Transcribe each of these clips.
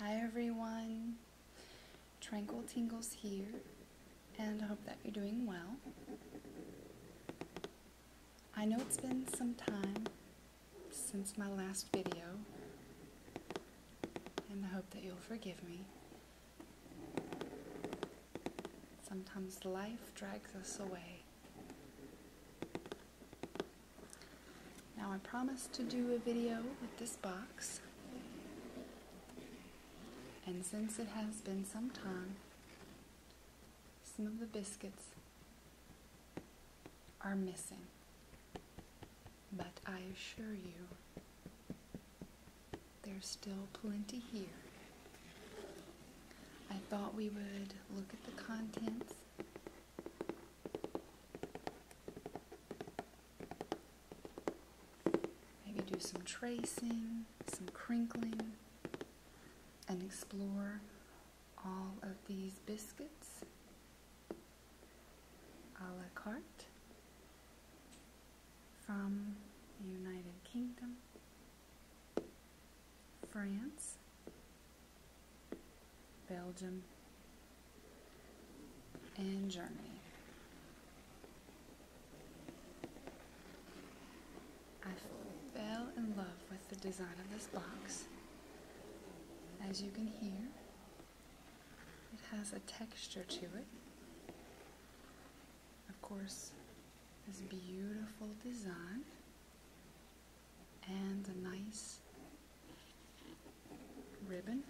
Hi everyone, Tranquil Tingles here, and I hope that you're doing well. I know it's been some time since my last video, and I hope that you'll forgive me. Sometimes life drags us away, now I promised to do a video with this box, and since it has been some time, some of the biscuits are missing. But I assure you, there's still plenty here. I thought we would look at the contents Maybe do some tracing, some crinkling, and explore all of these biscuits a la carte from the United Kingdom. France, Belgium, and Germany. I fell in love with the design of this box. As you can hear, it has a texture to it. Of course, this beautiful design and a nice ribbon.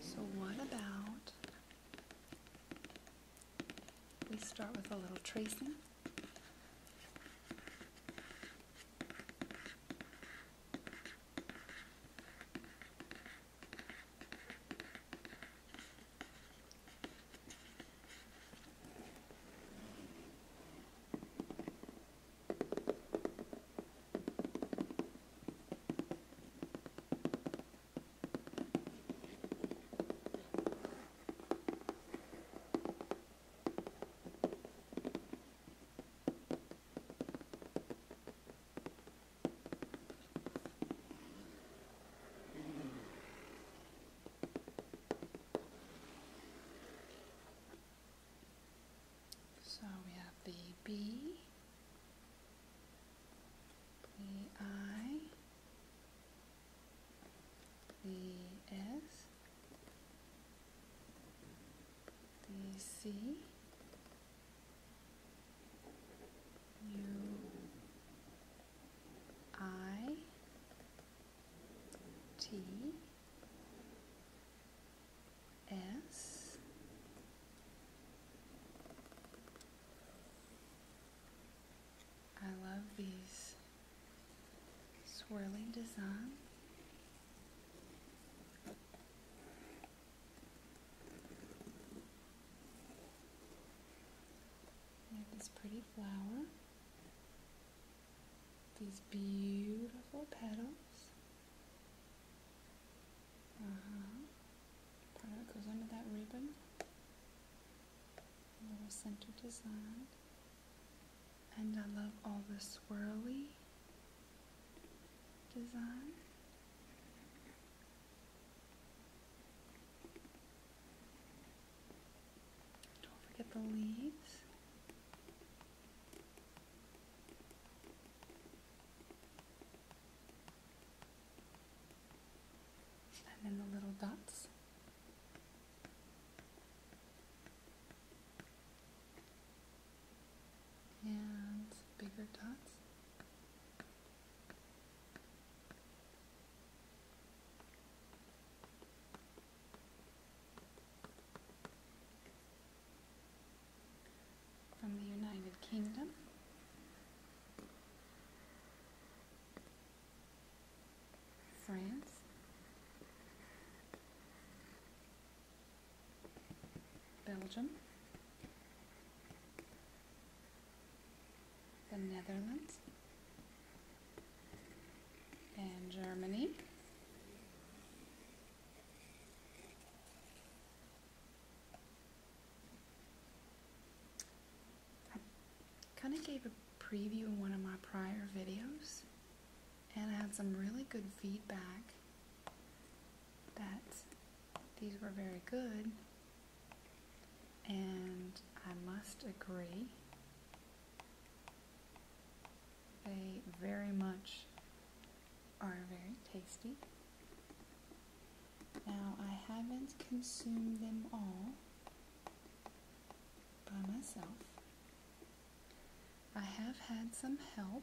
So, what about we start with a little tracing. So we have the B Plea I love these swirling design. We have this pretty flower, these beautiful petals. Uh-huh. Part of it goes under that ribbon. little center design. And I love all the swirly design. Don't forget the leaves and then the little dots. And bigger dots from the United Kingdom. France, Belgium, the Netherlands, and Germany. I kind of gave a preview in one of my prior videos, and I had some really good feedback that these were very good, and I must agree. They very much are very tasty. Now, I haven't consumed them all by myself. I have had some help.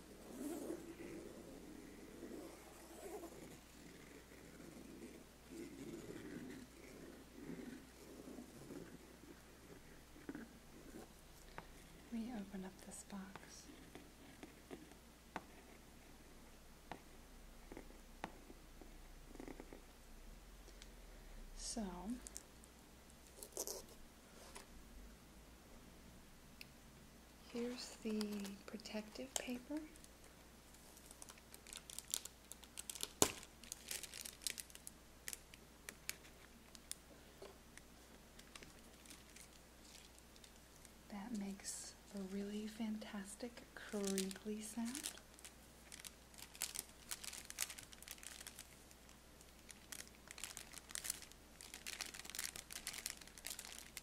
We open up this box. So, Here's the protective paper. That makes a really fantastic crinkly sound.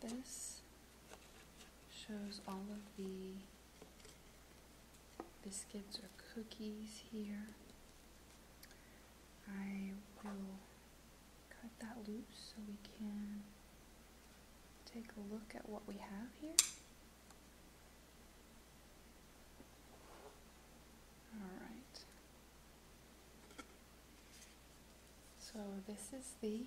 This shows all of the biscuits or cookies here. I will cut that loose so we can take a look at what we have here. All right. So this is the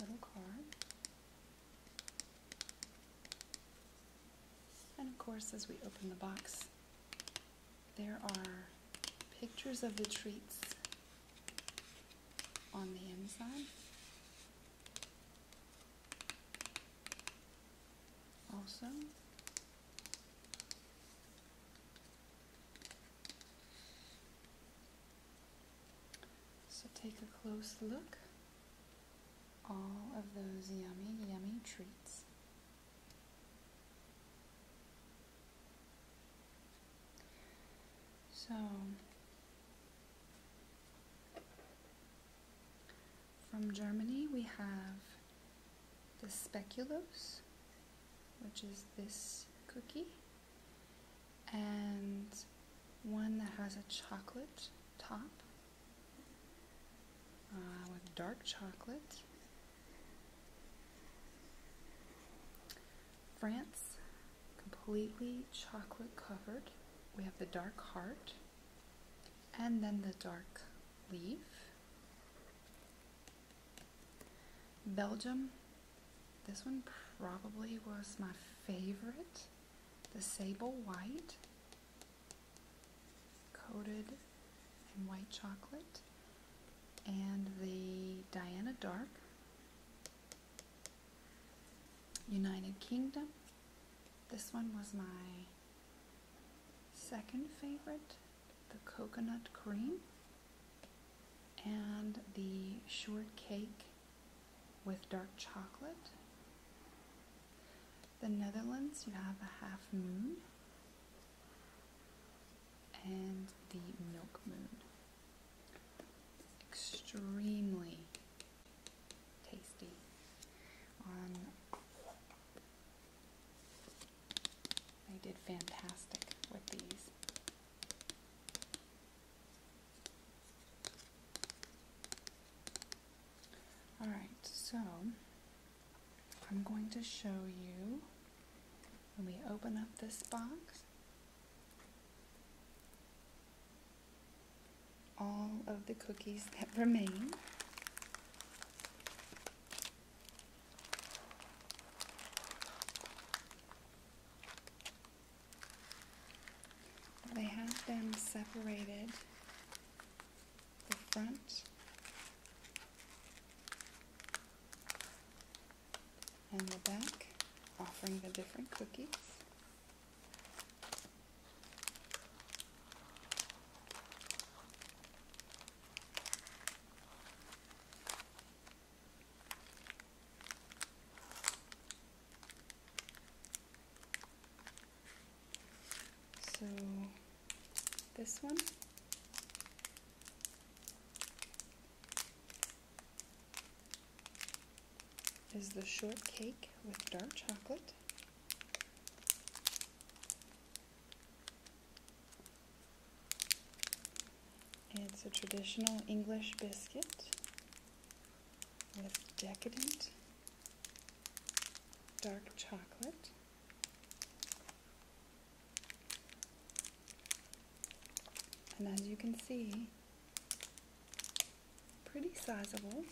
little card. And of course, as we open the box, there are pictures of the treats on the inside also so take a close look all of those yummy yummy treats so from Germany, we have the speculoos, which is this cookie, and one that has a chocolate top uh, with dark chocolate. France completely chocolate covered. We have the dark heart and then the dark leaf. Belgium, this one probably was my favorite. The sable white, coated in white chocolate, and the Diana dark United Kingdom. This one was my second favorite the coconut cream and the shortcake with dark chocolate. The Netherlands, you have a half moon and the milk moon. Extremely tasty they did fantastic with these all right so i'm going to show you when we open up this box all of the cookies that remain. They have been separated the front and the back, offering the different cookies. So this one is the shortcake with dark chocolate. It's a traditional English biscuit with decadent dark chocolate. And as you can see, pretty sizable.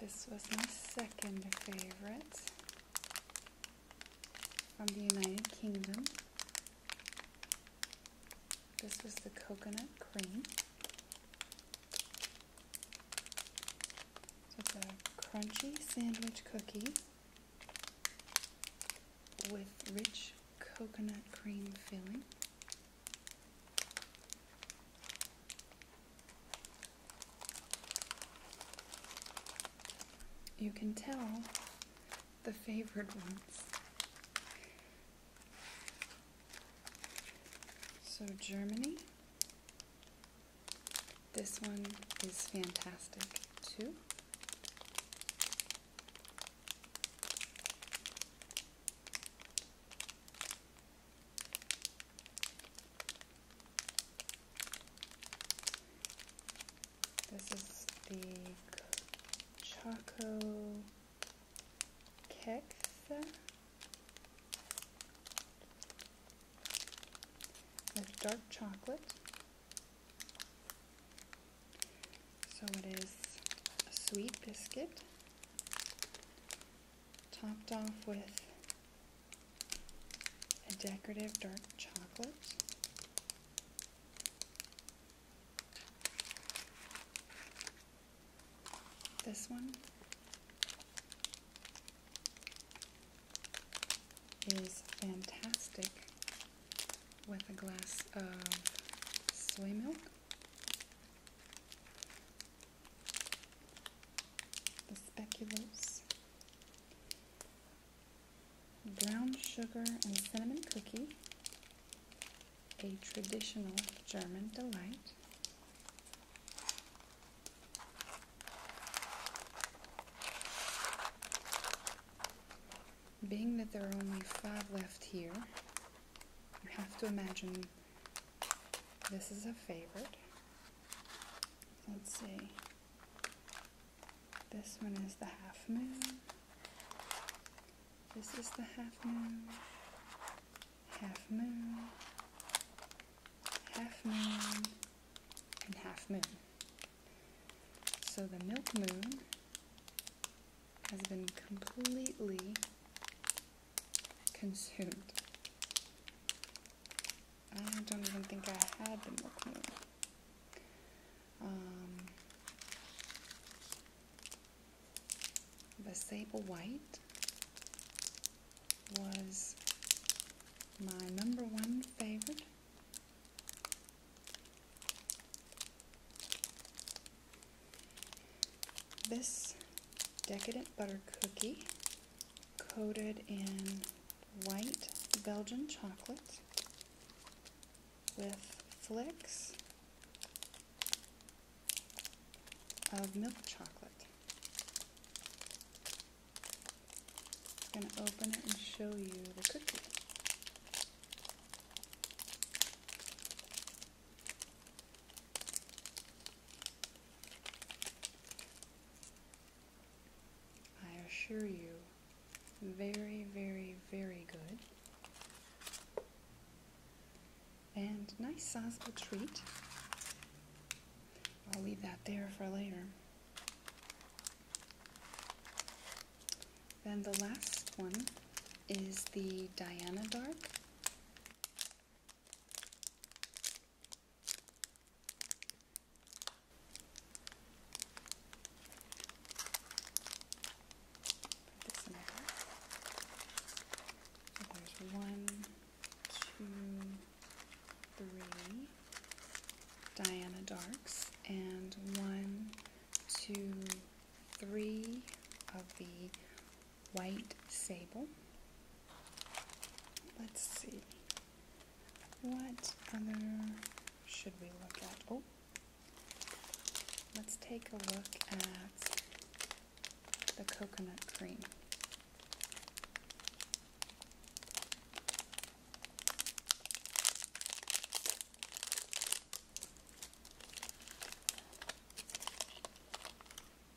This was my second favorite from the United Kingdom. This is the coconut cream. it's a crunchy sandwich cookie with rich coconut cream filling. You can tell the favored ones so Germany. This one is fantastic too. This is the Choco kex with dark chocolate. So it is a sweet biscuit topped off with a decorative dark chocolate. This one is fantastic with a glass of soy milk. The speculoos, brown sugar, and cinnamon cookie a traditional German delight. Being that there are only five left here, you have to imagine this is a favorite. Let's see. This one is the half moon. This is the half moon, half moon, half moon, and half moon. So the milk moon has been completely consumed. I don't even think I had the milk moon. Um, the sable white was my number one favorite. This decadent butter cookie coated in white Belgian chocolate with flecks of milk chocolate. I'm going to open it and show you the cookie. I assure you, very, very, very good and nice sizable treat. I'll leave that there for later. Then the last one is the Diana Dark there's one, two, three Diana Darks, and one, two, three of the White Sable. Let's see. What other should we look at? Oh, Let's take a look at the coconut cream.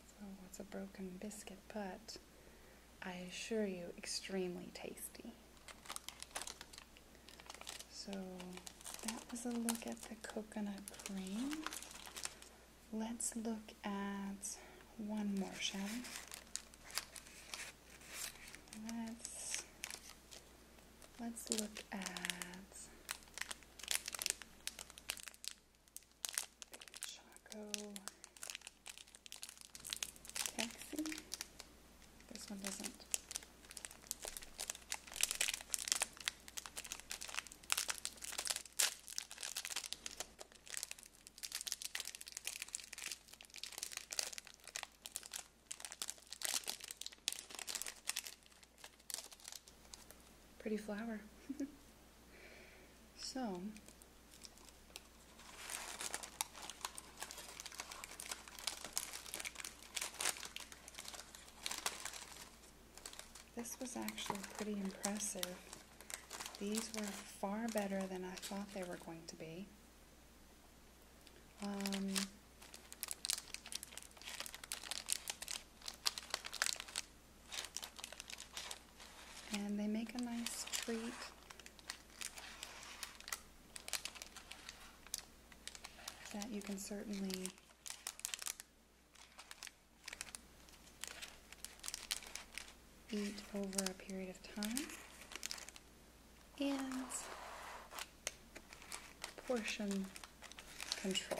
So oh, it's a broken biscuit, but I assure you, extremely tasty. So that was a look at the coconut cream. Let's look at one more, shall Let's let's look at Choco Taxi. This one doesn't. Pretty flower. so, this was actually pretty impressive. These were far better than I thought they were going to be. Um, and they make a nice treat. That you can certainly beat over a period of time and portion control.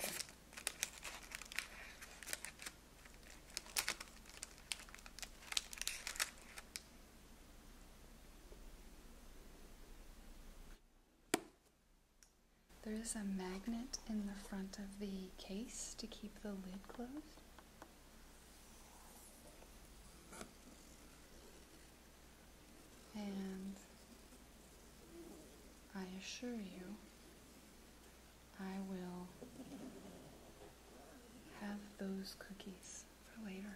There is a magnet in the front of the case to keep the lid closed. And I assure you, I will have those cookies for later.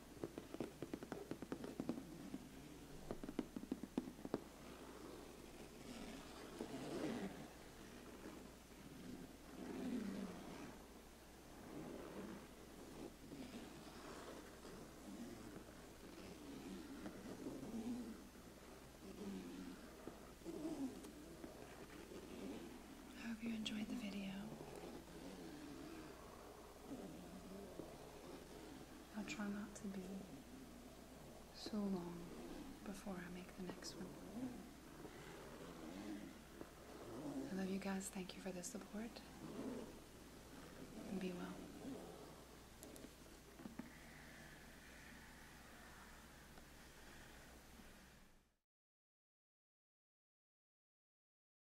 I hope you enjoyed the video. I'll try not to be so long before I make the next one. I love you guys. Thank you for the support. And be well.